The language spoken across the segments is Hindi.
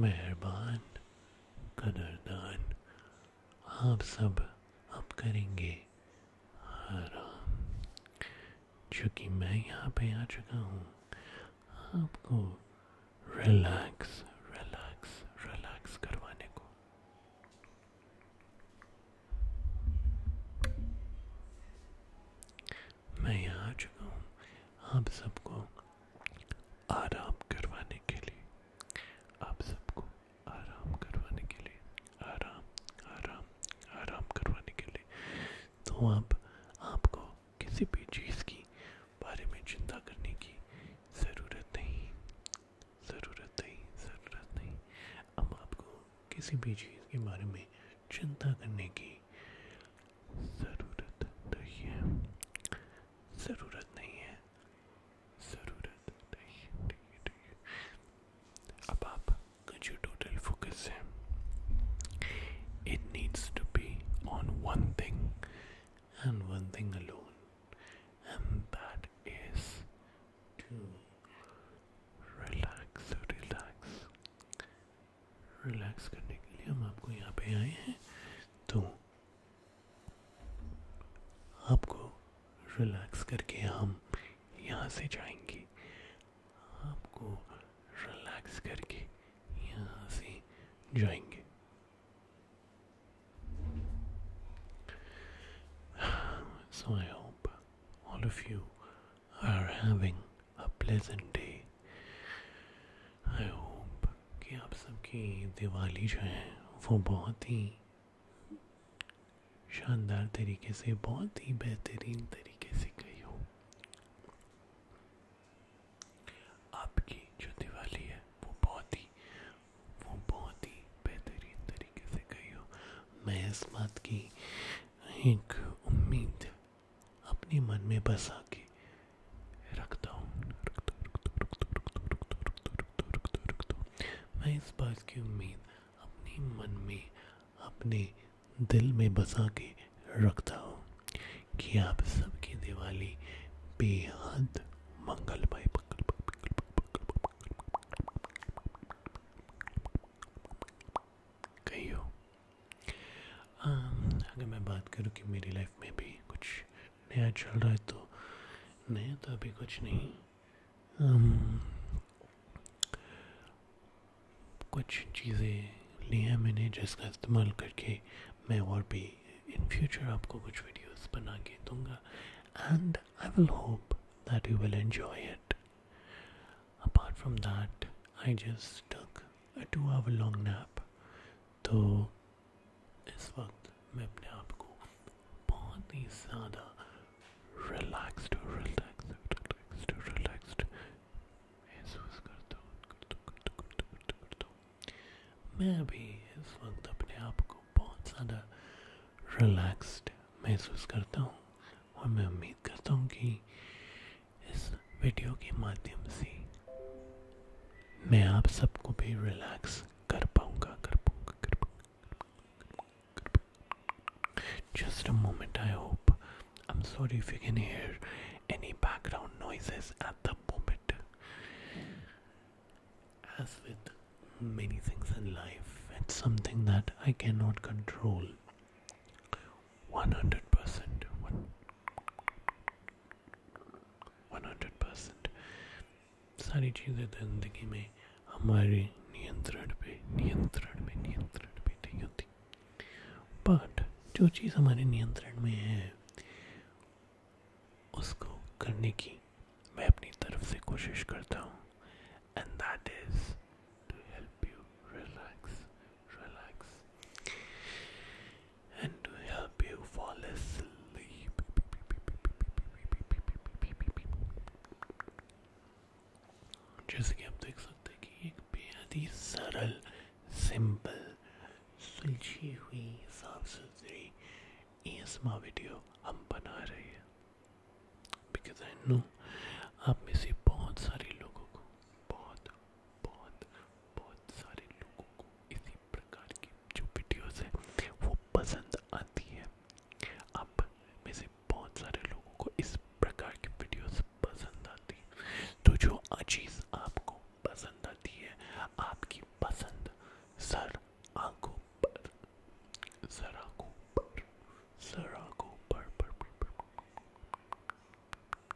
मेहरबान कदरदान आप सब अब करेंगे चूंकि मैं यहाँ पे आ चुका हूँ आपको रिलैक्स मैं यहाँ आ चुका हूँ आप सबको आराम करवाने के लिए आप सबको आराम करवाने के लिए आराम आराम आराम करवाने के लिए तो अब आपको किसी भी चीज़ की बारे में चिंता करने की ज़रूरत नहीं ज़रूरत नहीं ज़रूरत नहीं अब आपको किसी भी चीज़ के बारे में चिंता करने की ज़रूरत नहीं है ज़रूरत नहीं है ज़रूरत नहीं ठीक है ठीक है अब आपका जो टोटल फोकस है it needs to be on one thing and one thing alone and that is to relax relax relax करने के लिए हम आपको यहाँ पे आए हैं तो आपको रिलैक्स करके हम यहाँ से जाएंगे आपको रिलैक्स करके यहाँ से जाएंगे So I hope all of you are having a pleasant day. I hope कि आप सबकी दिवाली जो है वो बहुत ही शानदार तरीके से बहुत ही बेहतरीन तरीके से गई हो आपकी जो दिवाली है वो बहुत ही वो बहुत ही बेहतरीन तरीके से गई हो मैं इस बात की एक उम्मीद अपने मन में बसा के रखता हूँ रखता रखता रखता रखता रखता रखता रखता रखता मैं इस बात की उम्मीद अपने मन में अपने दिल में बसा के रखता हूँ कि आप सबकी दिवाली बेहद मंगल गई हो अगर मैं बात करूँ कि मेरी लाइफ में भी कुछ नया चल रहा है तो नया तो अभी कुछ नहीं um, कुछ चीज़ें ली हैं मैंने जिसका इस्तेमाल करके मैं और भी इन फ्यूचर आपको कुछ वीडियोस बना के दूंगा and I will hope that you will enjoy it apart from that I just tuck our long nap तो इस वक्त मैं अपने आप को बहुत ही ज़्यादा रिलैक्स्ड रिलैक्स्ड रिलैक्स्ड रिलैक्स्ड महसूस करता हूँ करता हूँ करता हूँ करता हूँ करता हूँ करता हूँ मैं अभी इस वक्त अपने आप को बहुत ज़्यादा रिलैक्स्ड महसूस करता हूँ और मैं उम्मीद करता हूँ कि इस वीडियो के माध्यम से मैं आप सबको भी रिलैक्स कर पाऊंगा कर पाऊंगा कर पाऊंगा just a moment I hope I am sorry if you can hear any background noises at the moment as with many things in life, it's something that I cannot control 100%. 100% सारी चीज़ें ज़िंदगी में हमारे नियंत्रण पे नियंत्रण पे नियंत्रण पे नहीं होती बट जो चीज़ हमारे नियंत्रण में है उसको करने की मैं अपनी तरफ से कोशिश करता हूँ and that is to help you relax relax and to help you fall asleep. जैसे कि आप देख सकते हैं कि एक बेहद ही सरल सिंपल सुलझी हुई साफ सुथरी एसमा वीडियो हम बना रहे हैं बिकॉज आई नो आप में से बहुत सारे लोगों को बहुत बहुत बहुत सारे लोगों को इसी प्रकार की जो वीडियोस है वो पसंद आती है आप में से बहुत सारे लोगों को इस प्रकार की वीडियोस पसंद आती है तो जो चीज़ आपको पसंद आती है आपकी पसंद सर आंखों पर सर आंखों पर सर आंखों पर पर, पर, पर, पर, पर, पर, पर, पर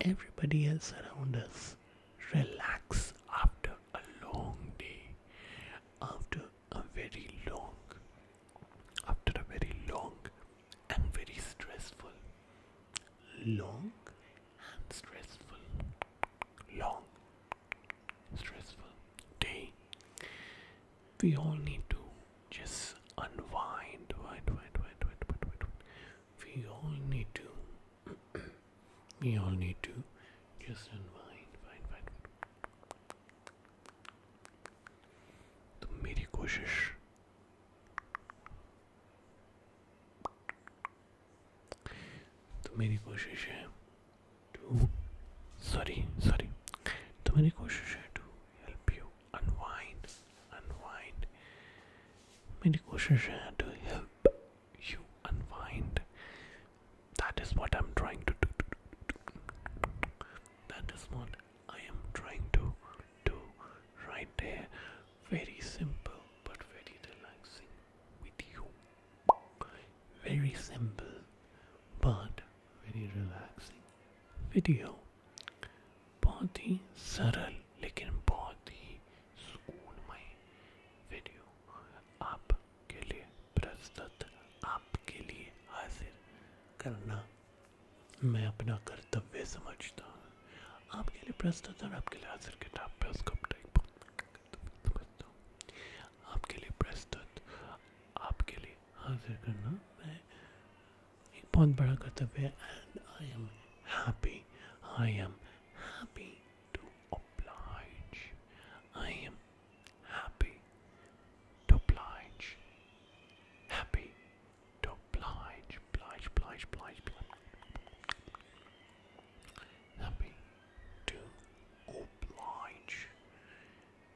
everybody else around us relax after a long day, after a very long, after a very long and very stressful, long and stressful, long, stressful day. We all need to just unwind. Wind, wind, wind, wind, wind, wind, We all need to. we all need to just unwind. Wind, wind, wind. तो मेरी कोशिश तो मेरी कोशिश है टू सॉरी सॉरी तो मेरी कोशिश to help you unwind, unwind. मेरी to help you unwind. That is what I'm trying to do. That is what I am trying to do right here. Very simple but very relaxing with you. Very simple but very relaxing video बहुत ही सरल लेकिन बहुत ही सुकूनमय वीडियो आपके लिए प्रस्तुत आपके लिए हाजिर करना मैं अपना कर्तव्य समझता हूँ आपके लिए प्रस्तुत और आपके लिए हाजिर किताब पे उसको आपके लिए प्रस्तुत आपके लिए हाजिर करना मैं upon Barakatabir and I am happy. I am happy to oblige. I am happy to oblige. Happy to oblige. Oblige, oblige, oblige, oblige. Happy to oblige.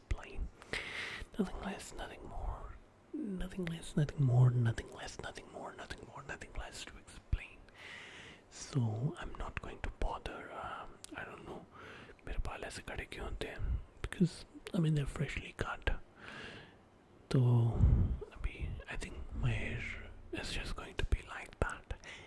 explain. Nothing less, nothing more. Nothing less, nothing more, nothing less, nothing more, nothing more, nothing less to explain. So I'm not going to bother. Um, I don't know. मेरे बाल ऐसे खड़े क्यों होते हैं? Because I mean they're freshly cut. So I think my hair is just going to be like that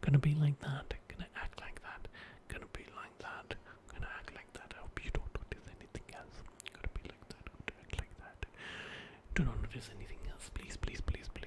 Gonna be like that. Gonna act like that. Gonna be like that. Gonna act like that. I hope you don't notice anything else. Gonna be like that. Gonna act like that. Do not notice anything else. Please, please, please, please. Please.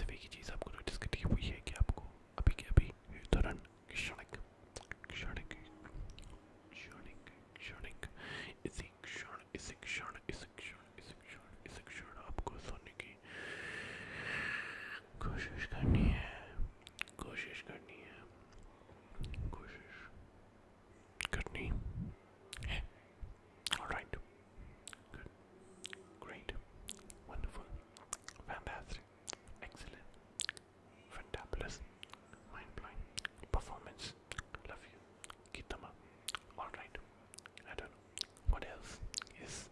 सभी की चीज़ आपको नोटिस करनी है वो ये है कि आपको अभी के अभी दौरान क्षणिक क्षणिक क्षणिक क्षणिक इसी क्षण इसी क्षण इसी क्षण इसी क्षण इसी क्षण आपको सोने की कोशिश करनी है कोशिश करनी है कोशिश करनी है Alright. Good. Great. Wonderful. Fantastic. Excellent. Fantabulous. Mind blowing. Performance. Love you. Kitama. Alright. I don't know. What else is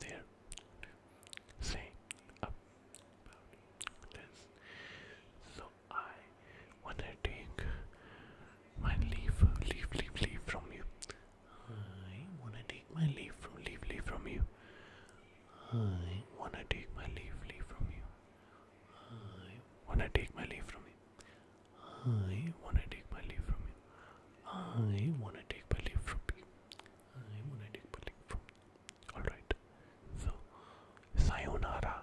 there to say about this? So I wanna my leave, leave, leave, leave from you. I wanna take my leave from, leave, leave from you. I wanna take my leave, leave from you. I wanna take my leave from you. I wanna take my leave from you. I wanna take my leave from you. I wanna take my leave from you. Alright. So, sayonara.